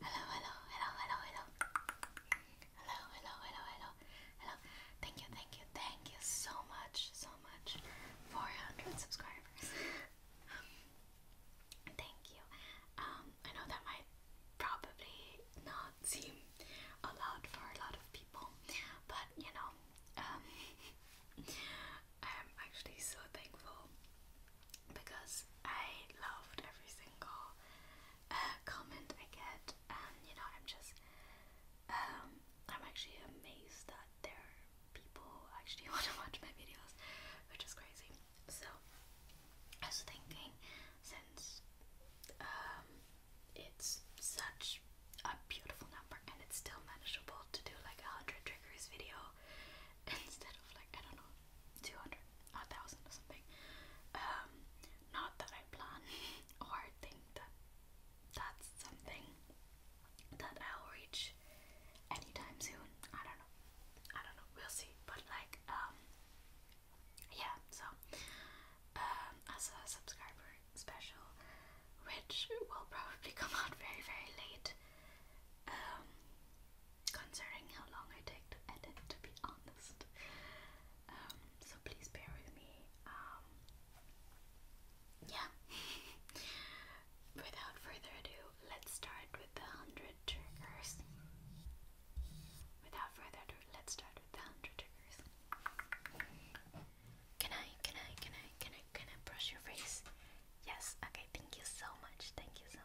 Hello, hello, hello, hello, hello. Hello, hello, hello, hello, Thank you, thank you, thank you so much, so much. 400 subscribers. Um, thank you. Um, I know that might probably not seem a lot for a lot of people, but you know, um, I'm actually so thankful because I loved every single uh, comment I get, and you know, I'm just, um, I'm actually amazed that there are people actually want to watch my videos, which is crazy. So, I was thinking, since um, it's such a beautiful number and it's still manageable to do like a hundred triggers video instead of like I don't know two hundred, a thousand or something. Um, not that I plan or think that that's something that I'll reach anytime soon. I don't know. I don't know. We'll see. But like, um, yeah. So, um, as a subscriber special, which will probably come out very very late. Um, Concerning how long I take to edit, to be honest. Um, so please bear with me. Um, yeah. Without further ado, let's start with the 100 triggers. Without further ado, let's start with the 100 triggers. Can I, can I, can I, can I, can I brush your face? Yes, okay, thank you so much, thank you so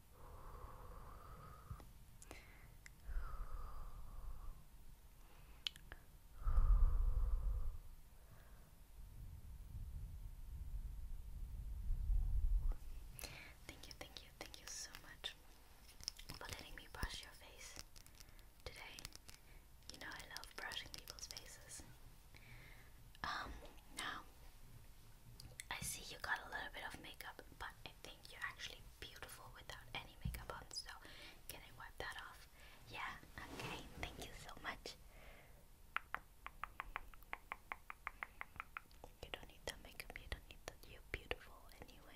Thank you, thank you, thank you so much for letting me brush your face today. You know I love brushing people's faces. Um, now I see you got a little bit of makeup, but I think you're actually beautiful without any makeup on. So, can I wipe that off? Yeah, okay, thank you so much. You don't need that makeup, you beautiful anyway.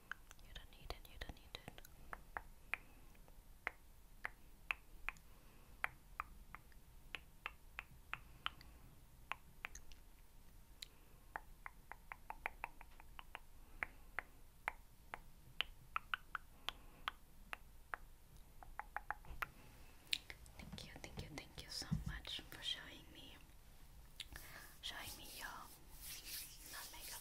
You don't need it, you don't need it. Thank you, thank you, thank you so much for showing me showing me your non makeup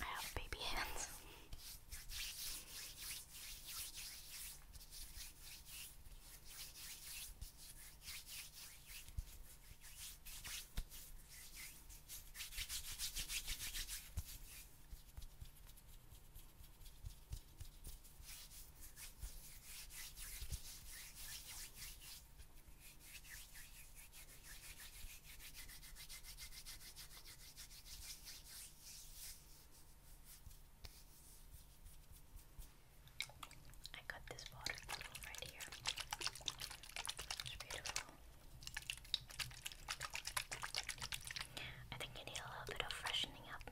I have baby hands. I got this water right here. It's beautiful. I think you need a little bit of freshening up.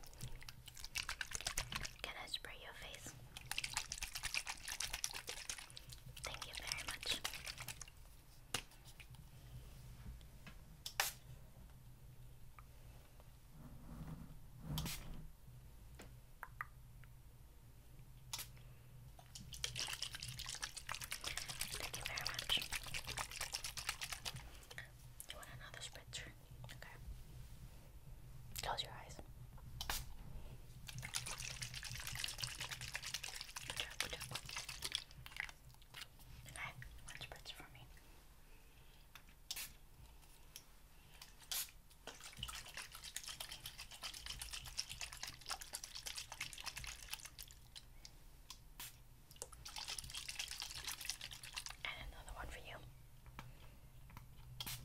Can I spray your face? Thank you very much. Thank you very much. You want another spritzer? Okay. Close your eyes. Okay, one spritz for me. And another one for you. Okay,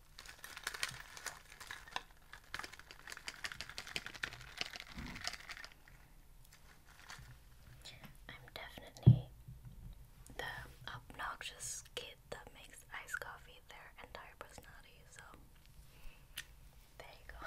I'm definitely the obnoxious kid that makes iced coffee their entire personality, so there you go.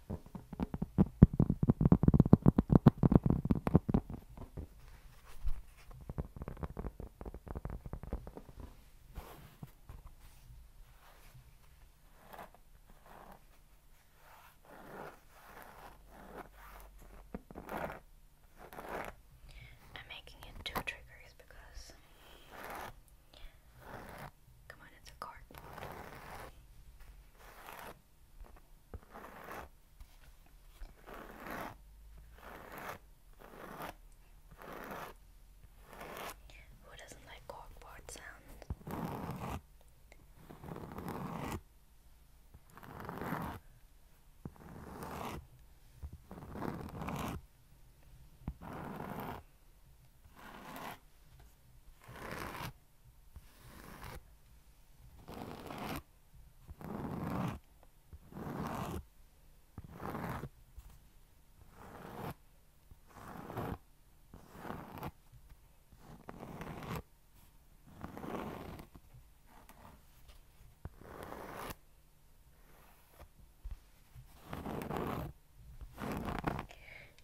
I'm making it two triggers because come on, it's a cardboard. Who doesn't like corkboard sound?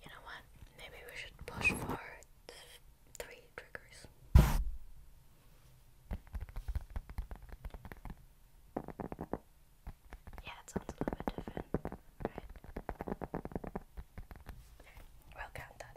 You know what? Maybe we should push for three triggers. Yeah, it sounds a little bit different, right? we'll count that.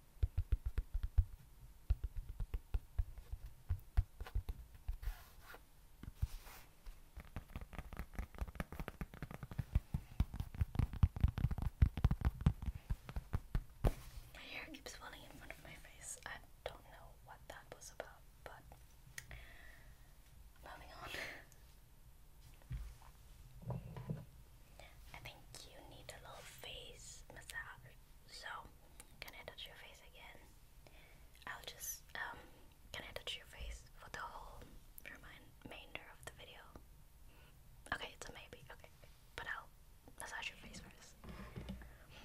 My hair keeps falling in front of my face. I don't know what that was about, but moving on. I think you need a little face massage. So, can I touch your face again? I'll just, um, can I touch your face for the whole remainder of the video? Okay, it's a maybe, okay. But I'll massage your face first. Okay,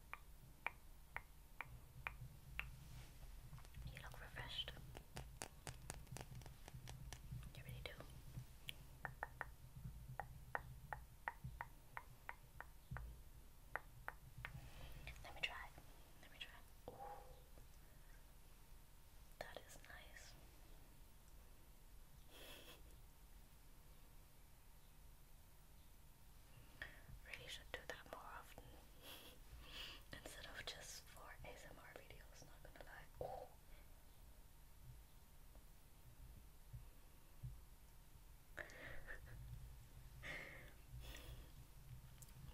You look refreshed. You really do. Let me try. Let me try. That is nice. Really should do that more often instead of just for ASMR videos, not gonna lie.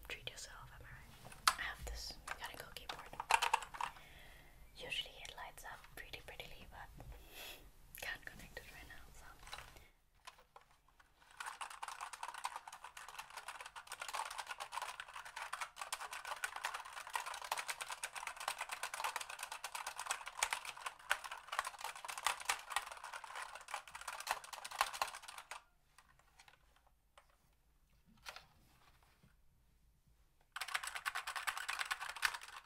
Treat yourself, am I right? I have this mechanical keyboard. Usually it lights up pretty prettily, but can't connect it right now, so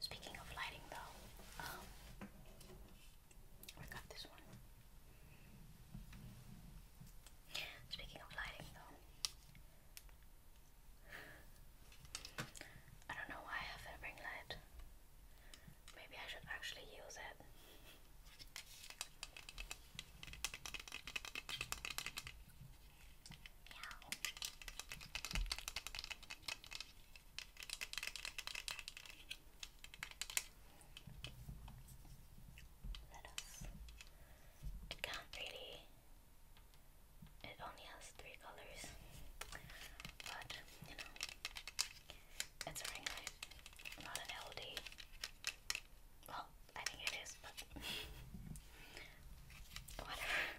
Speaking of lighting, though, um, we got this one. Speaking of lighting, though, I don't know why I have a ring light. Maybe I should actually use it. Let us. It can it only has three colors, but you know, it's a ring light, not an LD. Well, I think it is, but whatever.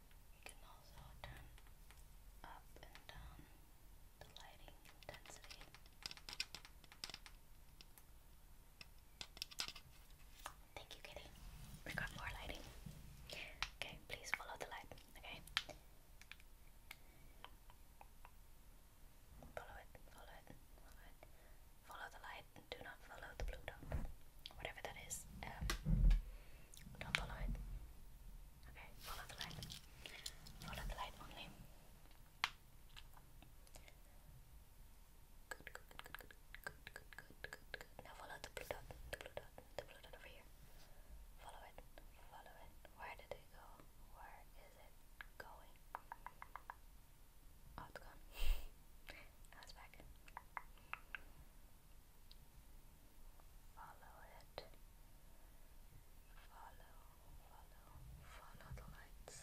You can also turn up and down the lighting intensity. Thank you, Kitty. We got more lighting. Okay, please follow the light. Okay. Follow it, follow it, follow it. Follow the light do not follow the blue dot whatever that is, don't follow it. Okay, follow the light. Follow the light only. Good, good, good, good, good, good, good, good, Now follow the blue dot, the blue dot, the blue dot over here. Follow it, follow it. Where did it go? Where is it going? Oh, it now it's back. Follow it. Follow, follow, follow the lights.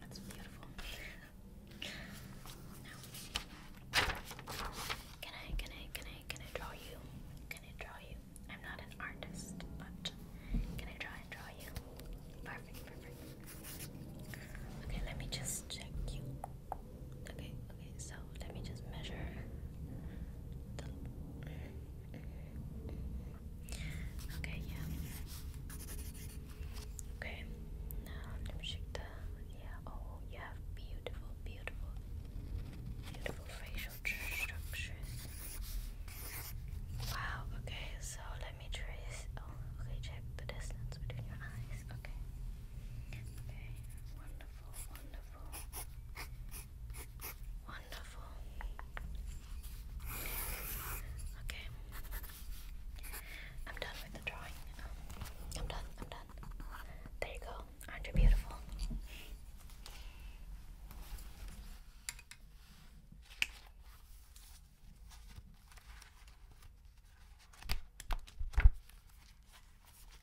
That's beautiful. Now, can I, can I, can I, can I draw you? Can I draw you? I'm not an artist, but can I try draw you? Perfect, perfect. Okay, let me just check you. Okay, okay, so let me just measure Okay, yeah. Okay, yeah, oh you have beautiful, beautiful, beautiful facial structures. Wow, okay, so let me trace oh okay, check the distance between your eyes. Okay. Okay, wonderful, wonderful. Wonderful. Okay. I'm done with the drawing. I'm done. I'm done. There you go. Aren't you beautiful?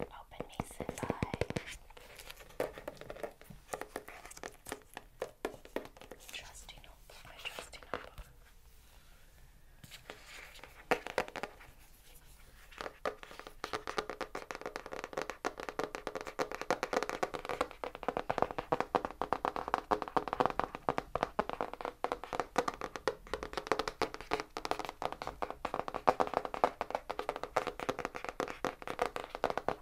Open me, Senpai. Trusty notebook, my trusty notebook.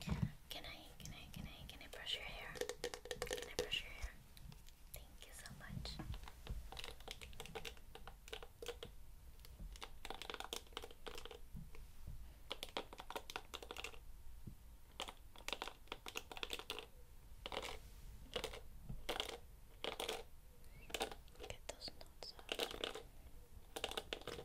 Can I, can I, can I, can I brush your hair? Can I brush your hair? Thank you so much. Okay, Get those notes out. Okay.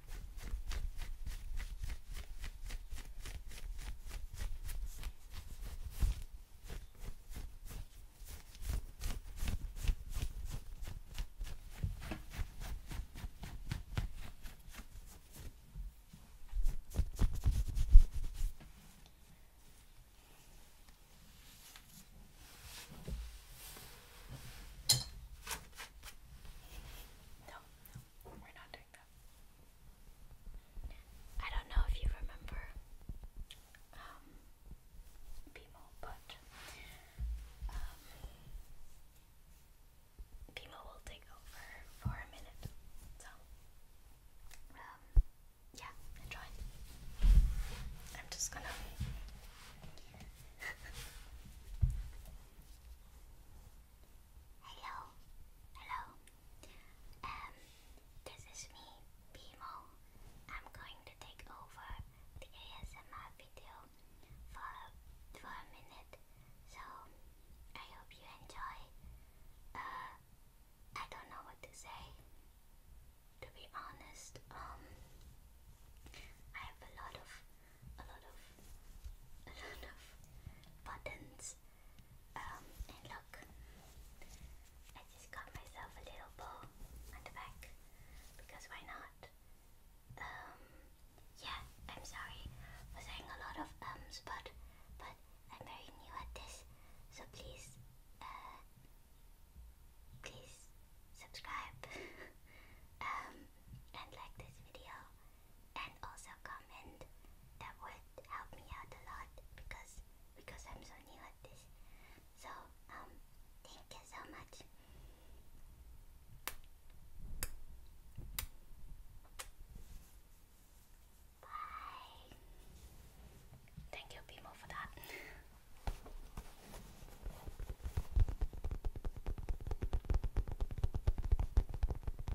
No, no, we're not doing I don't know if you remember um, but um, will take over for a minute. So, um, yeah, enjoy. I'm just gonna. Hello, hello. Um, this is me, Bimo. I'm going to take over the ASMR video for for a minute. So I hope you enjoy. Uh, I don't know what to say. To be honest, um, I have a lot of a lot of a lot of buttons. Um, and look, I just got myself a little bow on the back because why not? Um, yeah, I'm sorry for saying a lot of ums, but but I'm very new at this, so please, uh, please subscribe um, and like this video and also comment. That would help me out a lot because because I'm so new at this. So um, thank you so much. Bye. Thank you, Bimo, for that.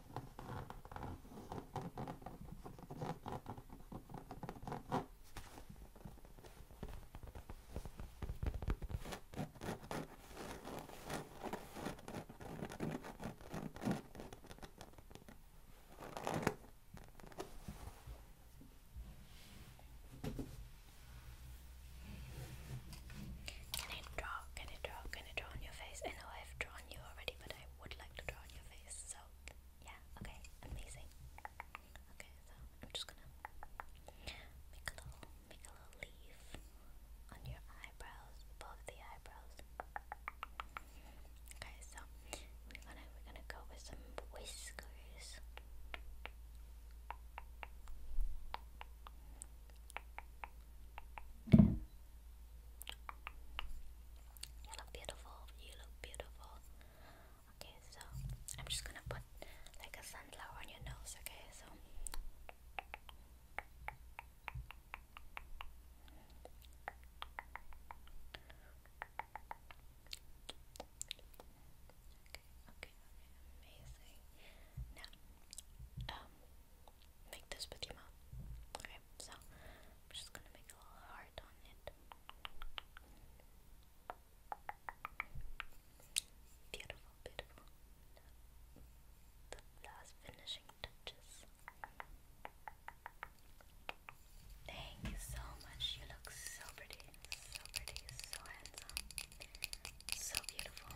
Can I draw? Can I draw? Can I draw on your face? I know I've drawn you already, but I would like to draw on your face. So, yeah, okay, amazing. Okay, so I'm just gonna make a little, make a little leaf on your eyebrows, above the eyebrows. Okay, so we're gonna we're gonna go with some whiskers. You look beautiful. You look beautiful. Okay, so I'm just gonna put like a sunflower on your nose. Okay, so okay, okay, amazing. Now, um, make this with your mouth. Okay, so I'm just gonna make a little heart on it. Beautiful, beautiful. The last finishing touches. Thank you so much. You look so pretty, so pretty, so handsome, so beautiful.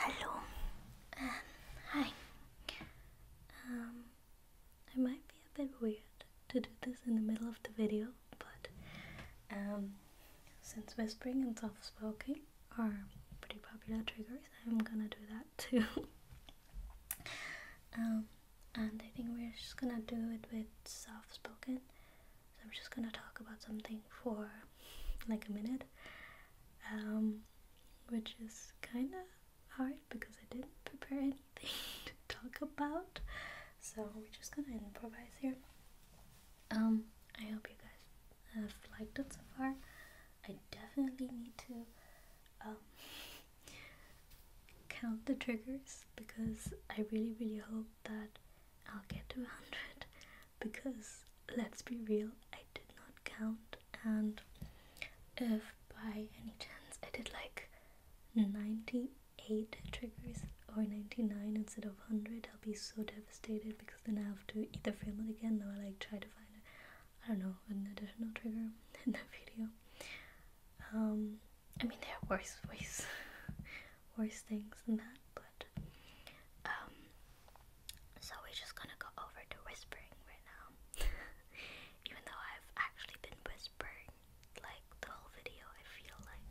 Hello. Um, hi. Um, it might be a bit weird to do this in the middle of the video, but um, since whispering and soft spoken are pretty popular triggers, I'm gonna do that too. Um, and I think we're just gonna do it with soft spoken. So I'm just gonna talk about something for like a minute, um, which is kind of hard because I didn't prepare anything to talk about. So we're just gonna improvise here. Um, I hope you guys have liked it so far. I definitely need to um, count the triggers because I really, really hope that I'll get to 100 because let's be real, I did not count. And if by any chance I did like 98 triggers or 99 instead of 100, I'll be so devastated because then I have to either film it again or like try to find it. I don't know, an additional trigger in that video. Um, I mean, there are worse ways, worse things than that, but um, so we're just gonna go over to whispering right now. Even though I've actually been whispering like the whole video, I feel like.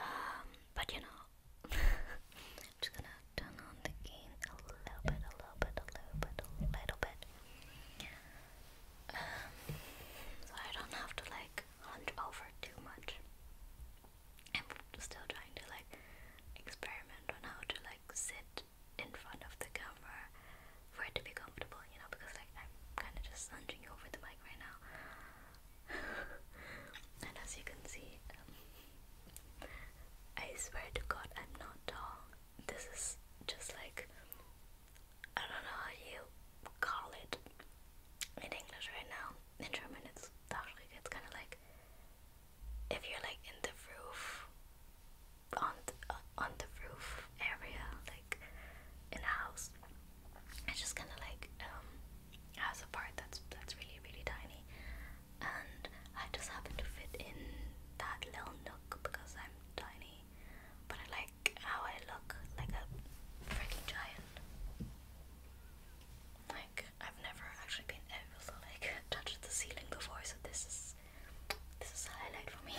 Um, but you know, just gonna turn on the gain a little bit, a little bit, a little bit, a little bit. Um, so I don't have to like hunch over too much. I'm still trying to like experiment on how to like sit in front of the camera for it to be comfortable, you know, because like I'm kind of just hunching over the mic right now. and as you can see, um, I swear to God, I'm not tall this is just like I don't know how you call it in English right now. In German, it's kind of like if you're like in the roof on the, uh, on the roof area, like in a house. It's just kind of like um, has a part that's that's really really tiny, and I just happen to fit in that little nook because I'm tiny, but I like how I look like a freaking giant. Like I've never actually been able to like touch the ceiling before, so this is this is a highlight for me.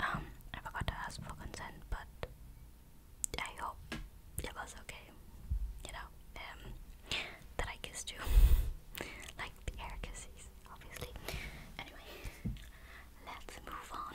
Um, I forgot to ask for consent, but I hope it was okay, you know, um, that I kissed you, like the air kisses, obviously. Anyway, let's move on.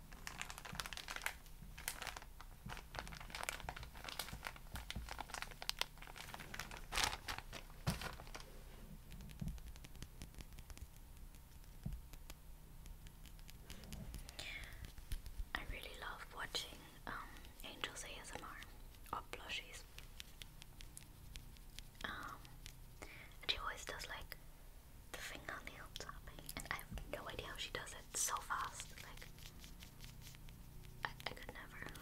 I really love watching um, Angels ASMR or plushies. Um, and she always does like the fingernail tapping, I have no idea how she does it so fast. Like, I, I could never.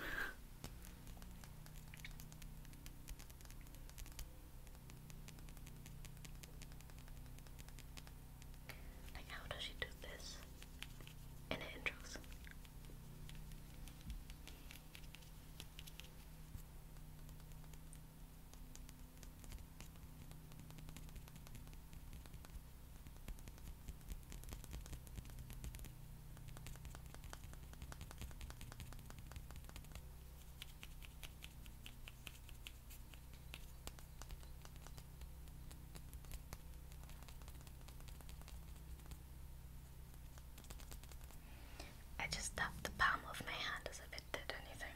like, how does she do this in the intros? I just tap the palm of my hand as if it did anything.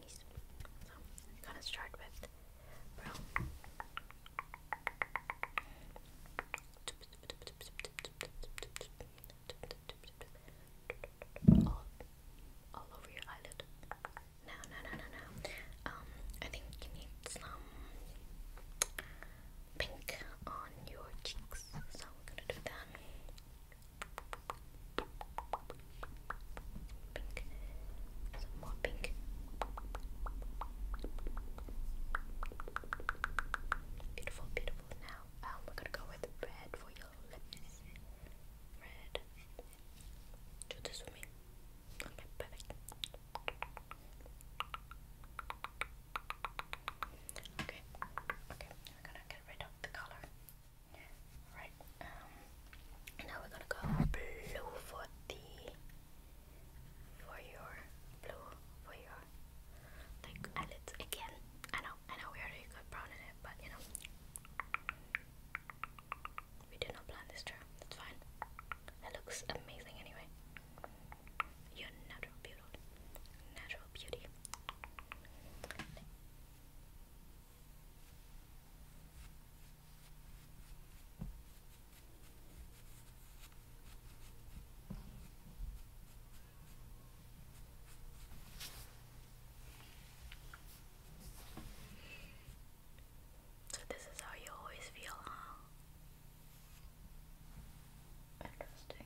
So I'm gonna start with All, all over your eyelid. No, no, no, no, no. Um, I think you need some pink on your cheeks, so I'm gonna do that. Pink. Some more pink. Beautiful, beautiful. Now, um, we're gonna go with red for your lips. Red. Do this with me. Okay, perfect. Okay, okay, we're gonna get rid of the color. Right, um, now we're gonna go blue for the, for your, blue for your, like, eyelids again. I know, I know we already got brown in it, but you know, we did not plan this term, that's fine. It looks amazing anyway. Your natural beauty, natural beauty. So this is how you always feel, huh? Interesting.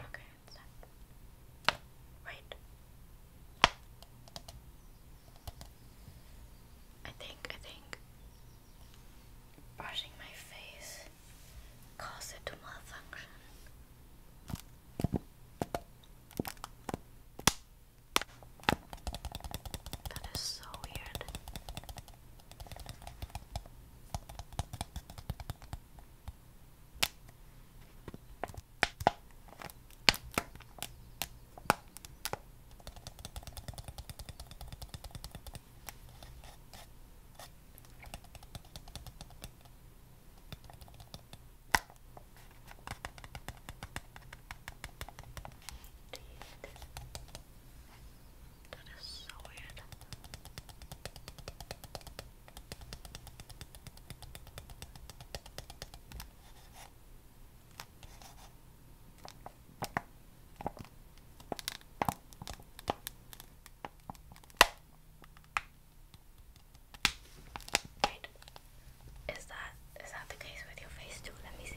Okay, it's I think, I think brushing my face caused it to malfunction. That is so weird. That is so weird is that is that the case with your face too? Let me see.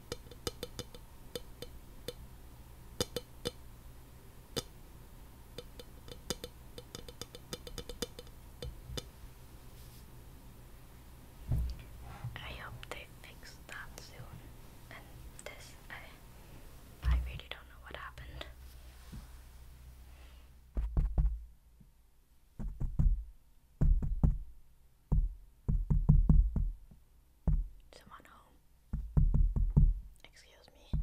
I hope they fix that soon. And this, I, really don't know what happened someone home. Excuse me.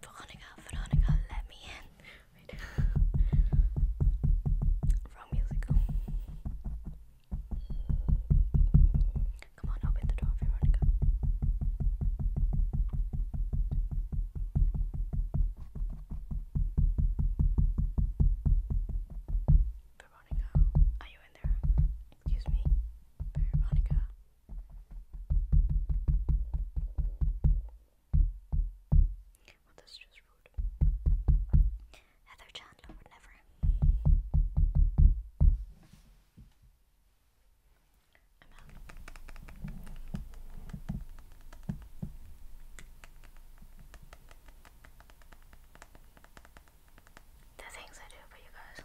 Veronica, Veronica, let me in. Wait. Wrong Come on, open the door, Veronica. Veronica, are you in there? Excuse me, Veronica. Well, just rude. Heather Chandler would never. I'm out. The things I do for you guys.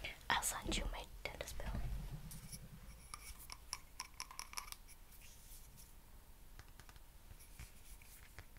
Okay, I'll send you my dentist bill.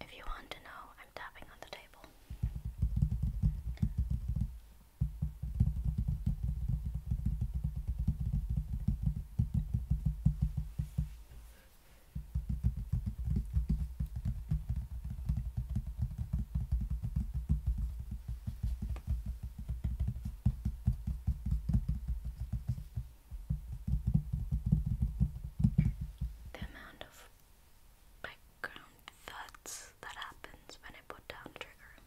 If you want to know, I'm tapping on the table. The amount of background thuds that happens when I put down trigger.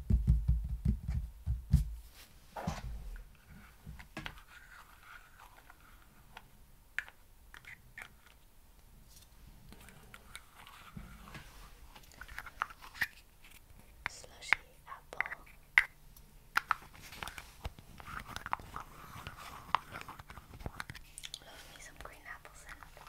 Slushy apple. Love me some green apples in.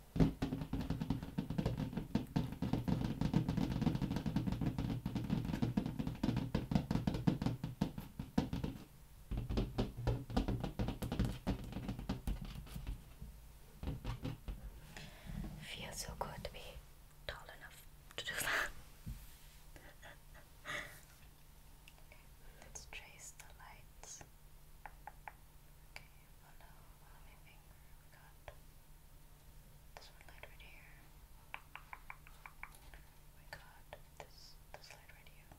Feels so good to be tall enough to do that. Let's trace the lights. Okay, follow this one right here. We got this this light right here.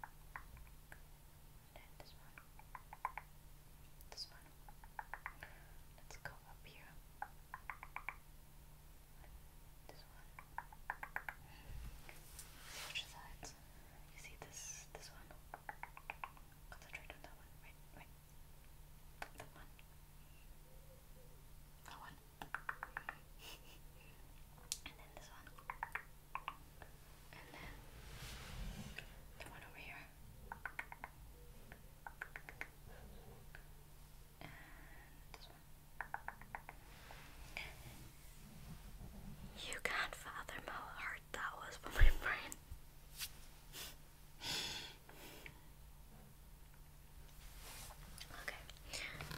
then this one. This one. Let's go up here. This one. Switch sides. You see this this one? Concentrate on that one. Right, right. That one. and then this one. And then the one over here. And this one. You can't fathom how hard that was for my brain. Okay,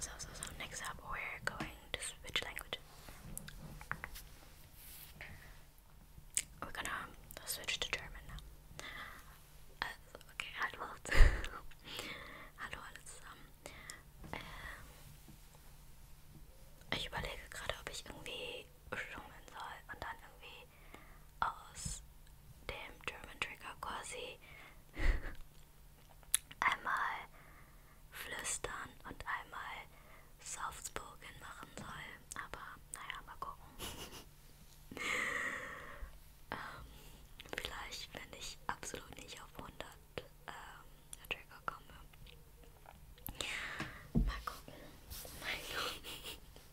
so, so, so, next up we're going to switch languages. We're gonna switch to German now. Also, okay, hallo. hallo alle zusammen. Ähm, ich überlege gerade, ob ich irgendwie summen soll und dann irgendwie aus dem German Trigger quasi einmal flüstern und einmal Softspoken machen soll. Aber naja, mal gucken. ähm, vielleicht, wenn ich absolut nicht auf 100 ähm, Trigger komme. Mal gucken. Mal gucken.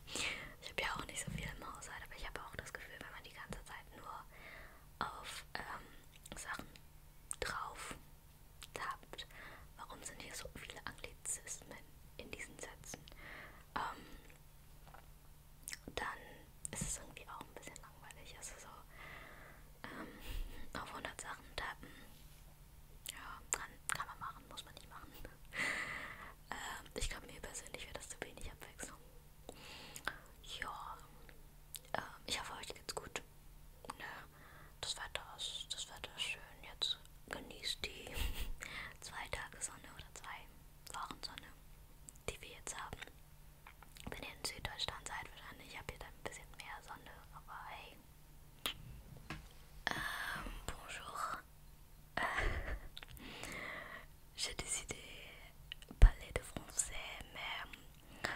Ich habe ja auch nicht so viel im Haushalt, aber ich habe auch das Gefühl, wenn man die ganze Zeit nur auf ähm, Sachen drauf tappt. Warum sind hier so viele Anglizismen in diesen Sätzen? Ähm, dann ist es irgendwie auch ein bisschen langweilig. Also so ähm, auf 100 Sachen tappen. Ja, kann, kann man machen, muss man nicht machen. Ähm, ich glaube, mir persönlich wäre das zu wenig Abwechslung. Ja, ähm, ich hoffe, euch geht's gut. Ne? Das Wetter ist, das Wetter ist schön. Jetzt genießt die zwei Tage Sonne oder zwei Wochen Sonne, die wir jetzt haben. Wenn ihr in Süddeutschland seid, wahrscheinlich habt ihr da ein bisschen mehr Sonne, aber hey. Ähm, bonjour. J'ai décidé de parler de français, mais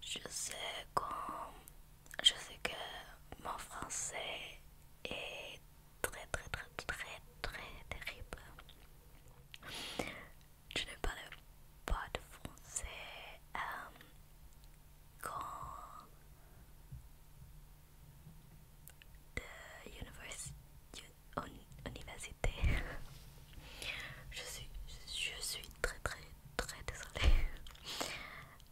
je sais, quand, je sais que mon français est très très très très très terrible. Je ne parle pas de français euh, quand de université. je, suis, je, suis très très très désolée.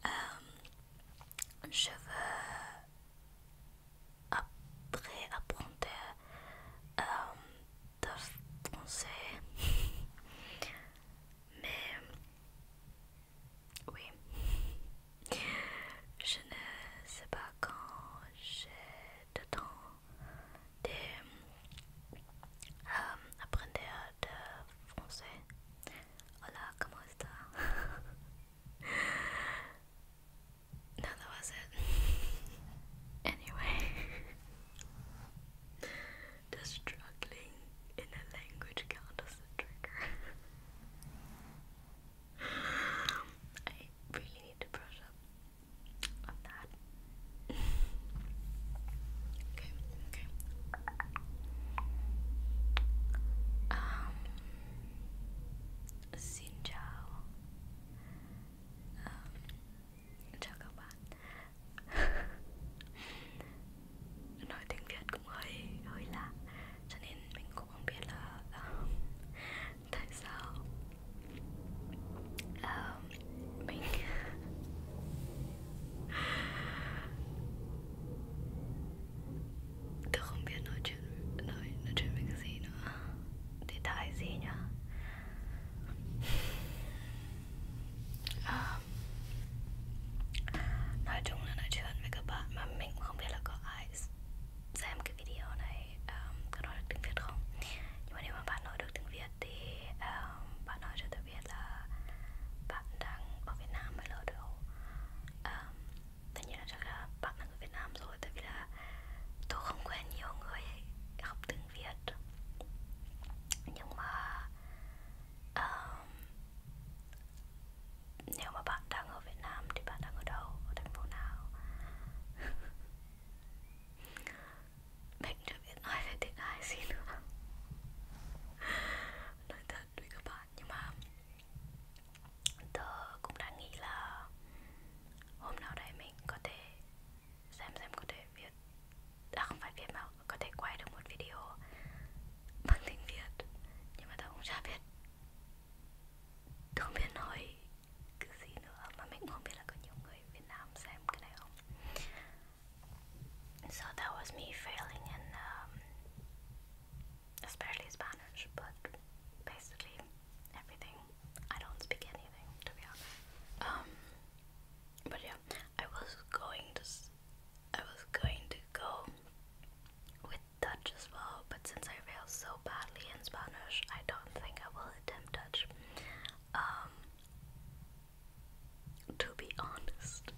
Euh, je veux après apprendre euh, de français. Mais Oui. Je ne sais pas quand j'ai le temps de euh, apprendre le français. Hola, ¿cómo está? no, that was it. anyway, struggling in a language count as a trigger. I really xin chào. chào các bạn. Nói tiếng Việt cũng hơi hơi lạ, cho nên mình cũng cũng không biết là uh, tại sao uh, mình tôi không biết nói chuyện nói nói chuyện với cái gì nữa thì tại gì nhá uh, à, nói chung là nói chuyện với các bạn mà mình cũng không biết là có ai xem cái video này um, có nói được tiếng Việt không nhưng mà nếu mà bạn nói được tiếng Việt thì um, bạn nói cho tôi biết là bạn đang ở Việt Nam hay là ở đâu um, tất nhiên là chắc là bạn đang ở Việt Nam rồi tại vì là tôi không quen nhiều người học tiếng Việt nhưng mà um, nếu mà bạn đang ở Việt Nam thì bạn đang ở đâu ở thành phố nào mình chưa biết nói về tiếng Thái gì nữa nói thật với các bạn nhưng mà tớ cũng đang nghĩ là hôm nào đấy mình có thể xem xem có thể viết à không phải viết mà có thể quay được một video bằng tiếng Việt nhưng mà tớ cũng chả biết so that was me failing in especially um, Spanish but basically everything I don't speak anything to be honest um, but yeah I was going to I was going to go with Dutch as well, but since I failed so badly in Spanish, I don't think I will attempt Dutch. Um, to be honest,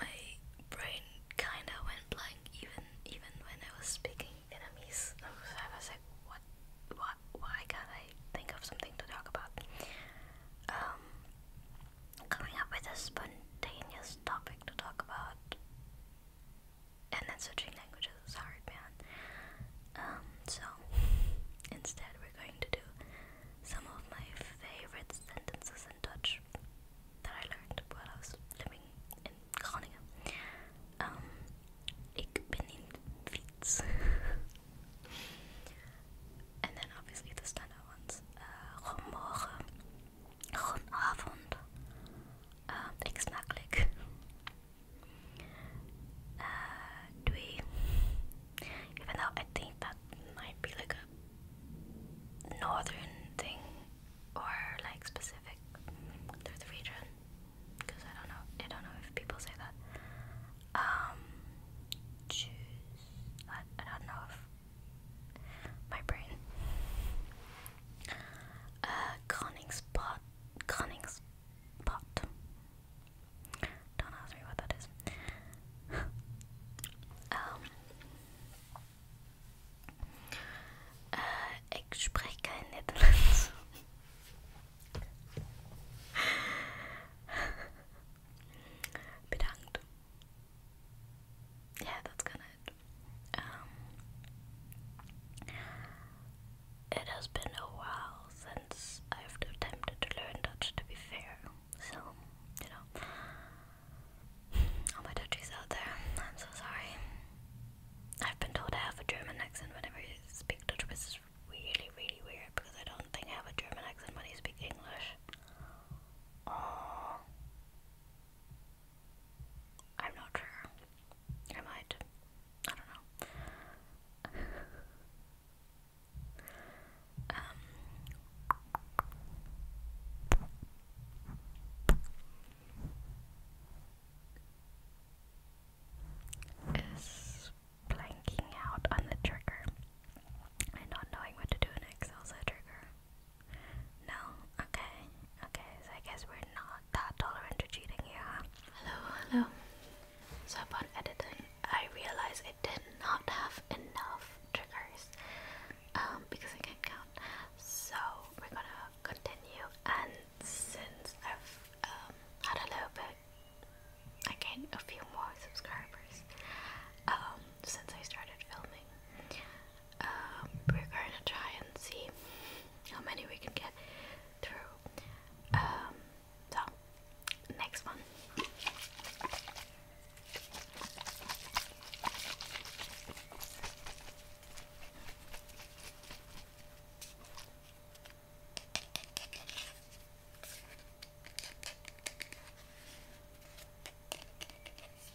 my brain kinda went blank even even when I was speaking Vietnamese. I was like, what, what, why can't I think of something to talk about? Um, coming up with a spontaneous topic to talk about and then switching languages is hard, man. Um, so instead, we're going to do some of my favorite sentences in Dutch that I learned while I was living in Groningen. Um, ik ben in fiets. and then obviously the standard ones. Uh, Goedenavond. Uh, ik smakelijk. Uh, doei. Even though I think that might be like a northern thing or like specific to region, because I don't know. I don't know if people say that. Um, I don't know if my brain. Uh, conning spot, conning spot. Don't ask me what that is. um, uh, ik spreek geen Nederlands. Bedankt. Yeah, that's gonna um, it has been a while since I've attempted to learn Dutch. To be fair, so you know, all my Dutchies out there, I'm so sorry. I've been told I have a German accent whenever I speak Dutch, which is really, really weird because I don't think I have a German accent when I speak English. I'm not sure. I might. I don't know. um. Is blanking out on the trigger and not knowing what to do next also a trigger. No? Okay. Okay, so I guess we're not that tolerant to cheating here, Hello, hello. So upon editing, I realized it did not have enough triggers um, because I can't count. So we're gonna continue, and since I've um, had a little bit, I gained a few more subscribers um, since I started filming. Um, we're going to try and see how many we can get through. Um, so, next one.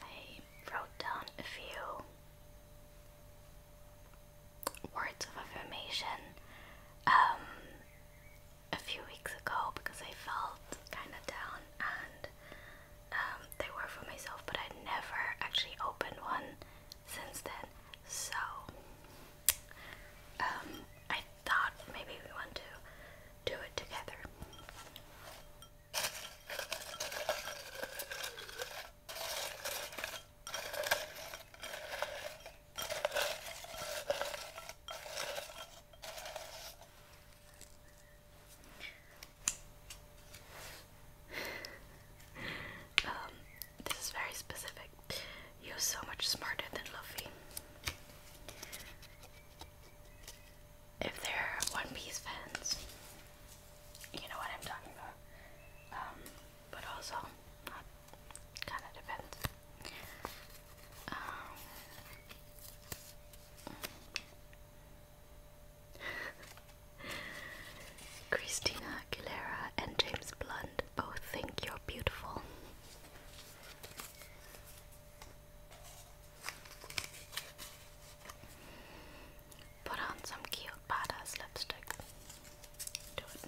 I wrote down a few words of affirmation um, a few weeks ago because I felt kind of down and um, they were for myself, but I never actually opened one since then. So um, I thought maybe we want to do it together um, this is very specific. You're so much smarter than Luffy. If they're One Piece fans, you know what I'm talking about. Um, but also, kind of depends. Um, Christina Aguilera and James Blunt both think you're beautiful. Put on some cute badass lipstick. Do it.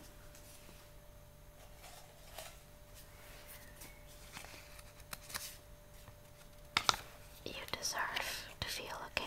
You deserve to feel okay.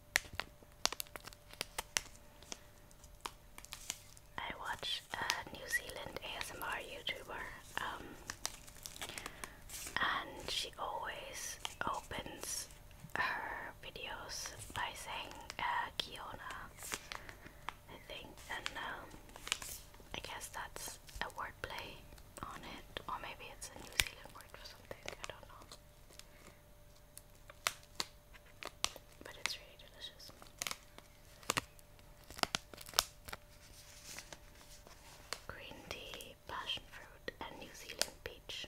I watch a New Zealand ASMR YouTuber, um, and she always opens her videos by saying uh, Kiona, I think, and um, I guess that's a wordplay on it, or maybe it's a New Zealand word for something, I don't know. Green tea, passion fruit, and New Zealand peach.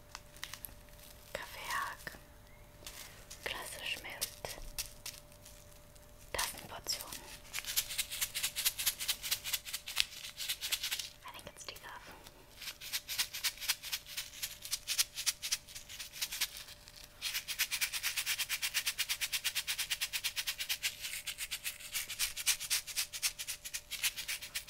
Kaffeehack, klassisch mit Tassenportionen. I think it's decaf.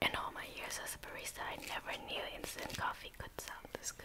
In all my years as a barista, I never knew instant coffee could sound this good.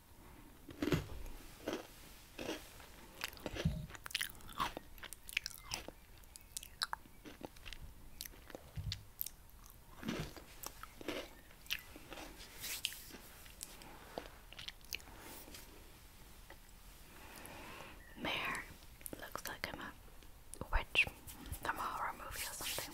Mare looks like I'm a witch from a horror movie or something.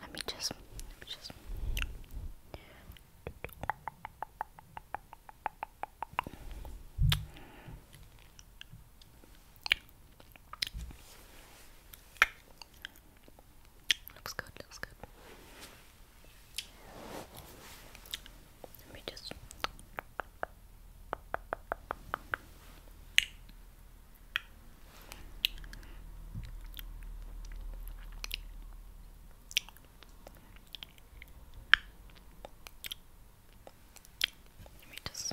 Let me just, just. Looks good, looks good. Let me just. Let me just.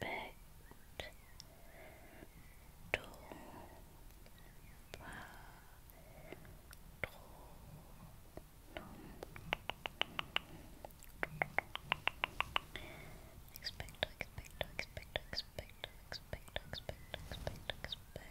bit expect expect expect expect expect expect expect expect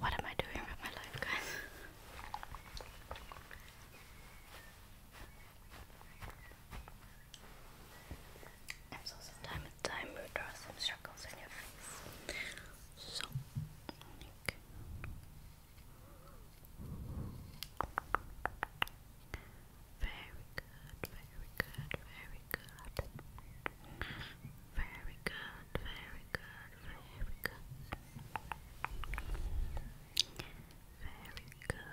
What am I doing with my life, guys? I'm so sometimes time we draw some circles in your face. So, very good, very good, very good. Very good, very good, very good. Very good, good, good, good.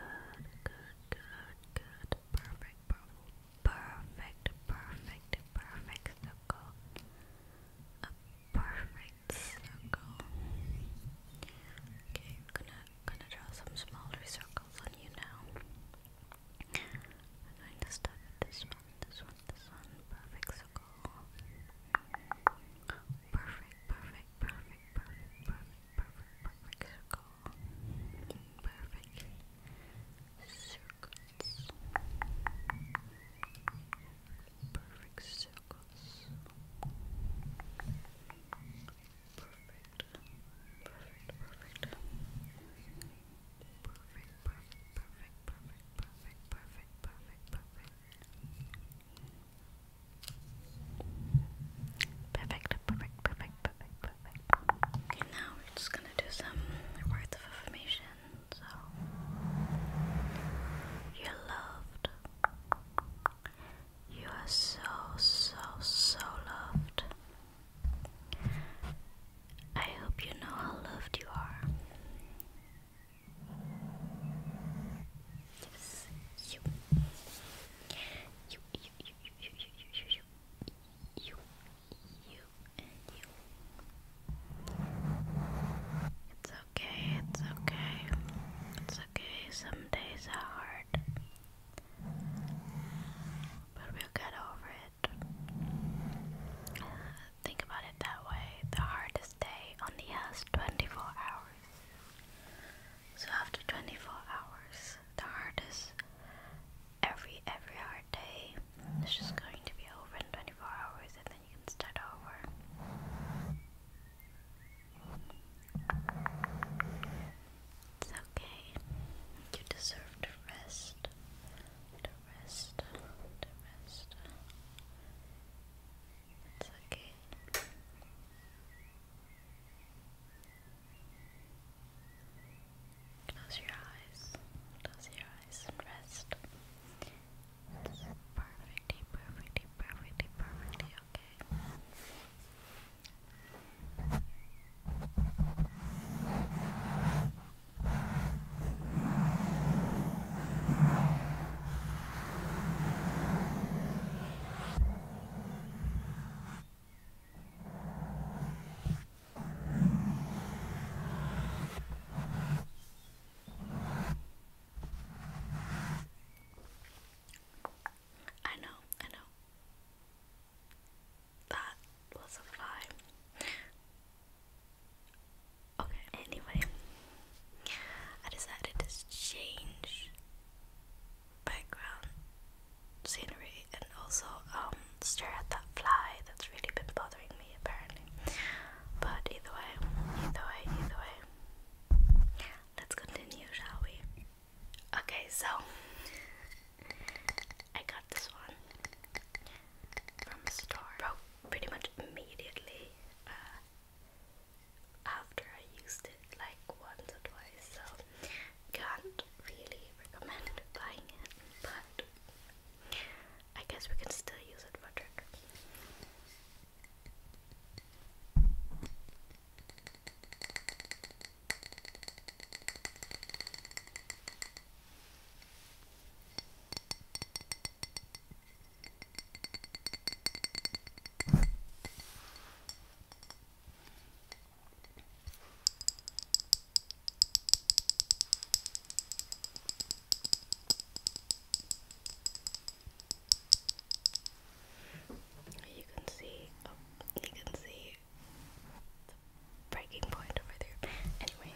Perfect, perfect, perfect, perfect, perfect circle. A perfect circle. Okay, I'm gonna gonna draw some smaller circles on you now. I'm going to start this one, this one, this one. Perfect circle. Perfect, perfect, perfect, perfect, perfect, perfect, perfect circle. Perfect circles, perfect circles, perfect, perfect, perfect, perfect, perfect, perfect, perfect, perfect. Perfect, perfect, perfect, now we're just gonna do some words So, you're loved. You are so, so, so loved. I hope you know how loved you are. Yes, you, you, it's okay, it's okay. It's okay, some days are hard. But we'll get over it. think about it that way. The hardest day only has 24 hours. So after 24 hours, the hardest every every hard day it's just going to be over in 24 hours and then you can start over it's okay you deserve to rest to rest to rest it's okay Close your eyes. Close your eyes and rest. perfectly, perfectly, perfectly, perfectly okay. I know, I know. That was a Okay, anyway, I decided to change background scenery and also um, stare at that fly that's really been bothering me apparently. But either way, either way, either way, let's continue, shall we? Okay, so I got this one from a store. Bro, pretty much immediately uh, after I used it, like once or twice. So can't really recommend buying it, but I guess we can still use it for trick. You can see, oh, you can see the breaking point over there. Anyway.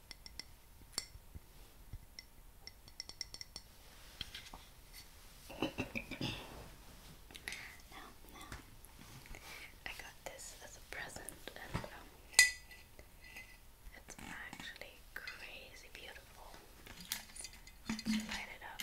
no, no. I got this as a present, and um, it's actually crazy beautiful. light it up.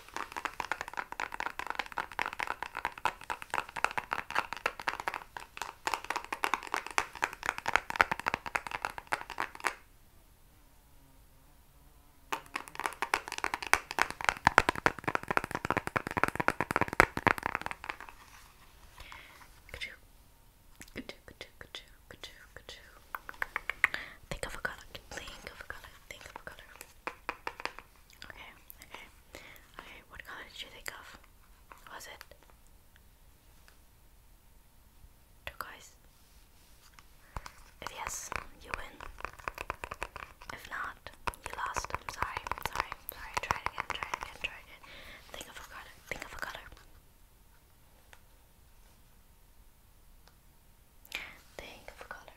Think of a color. Think of a color. Think of a color. Okay, okay, okay. What color did you think of? Was it turquoise? If yes, you win. If not, you lost. I'm sorry, sorry, sorry. Try again, try again, try again. Think of a color, think of a color. Think of a color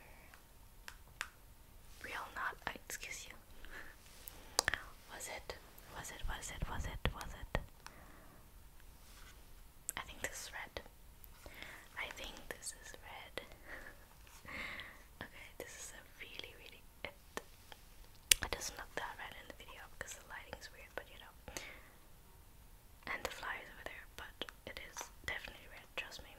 real not I excuse you was it was it was it was it was it I think this is red I think this is red okay this is a really really it, it doesn't look that red in the video because the lighting is weird but you know and the flyers over there but it is definitely red trust me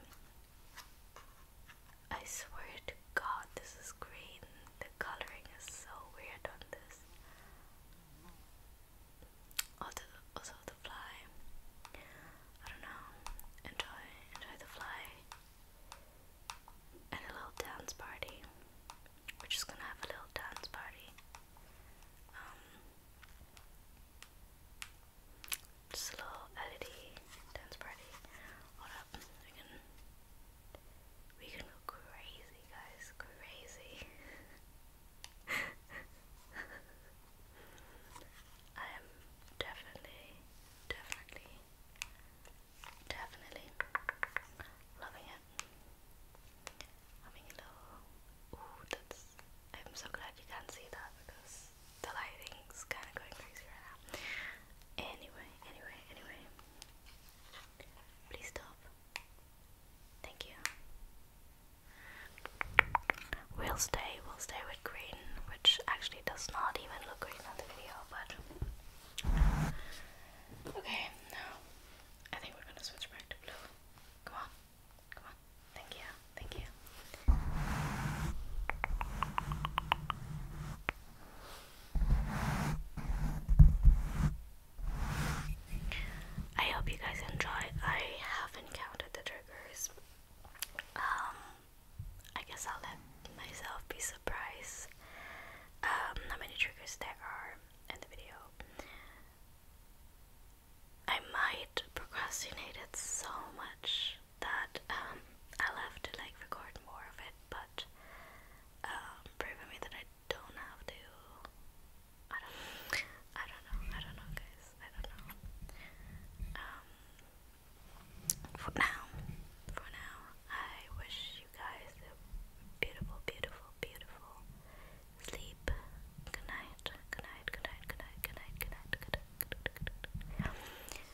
I swear to God, this is green. The coloring is so weird on this. Also, also the fly. I don't know. Enjoy, enjoy the fly. And a little dance party. We're just gonna have a little dance party. Um, Slow a dance party. Hold up, we can we can go crazy, guys, crazy. I am definitely, definitely, definitely loving it. I mean, you ooh, that's. I'm so glad you can see that because the lighting's kind of going crazy right now. Anyway, anyway, anyway. Please stop. Thank you. We'll stay, we'll stay with green, which actually does not even look green on the video, but. Okay, now I think we're gonna switch back to blue. Come on, come on, thank you. Thank you. I hope you guys enjoy. I haven't counted the triggers. Um, I guess I'll let myself be surprised um, how many triggers there are in the video. I might procrastinate it so much that um, I'll have to like record more of it, but um, proving me that I don't have to. I don't. I don't know. I don't know, guys. I don't know. Um, for now, for now, I wish you guys a beautiful, beautiful, beautiful sleep. Good night. Good night. Good night. Good night. Good night. Good night. Good night.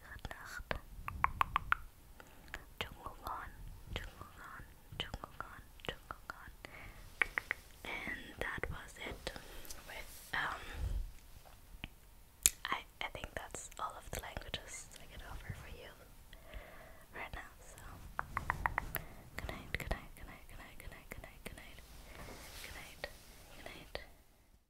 Good Nacht. Jungungon, Jungungon, Jungungon, Jungungon. And that was it with, um, I, I think that's all of the languages I can offer for you right now, so good night, good night, good night, good night, good night, good night, good night, good night, good night.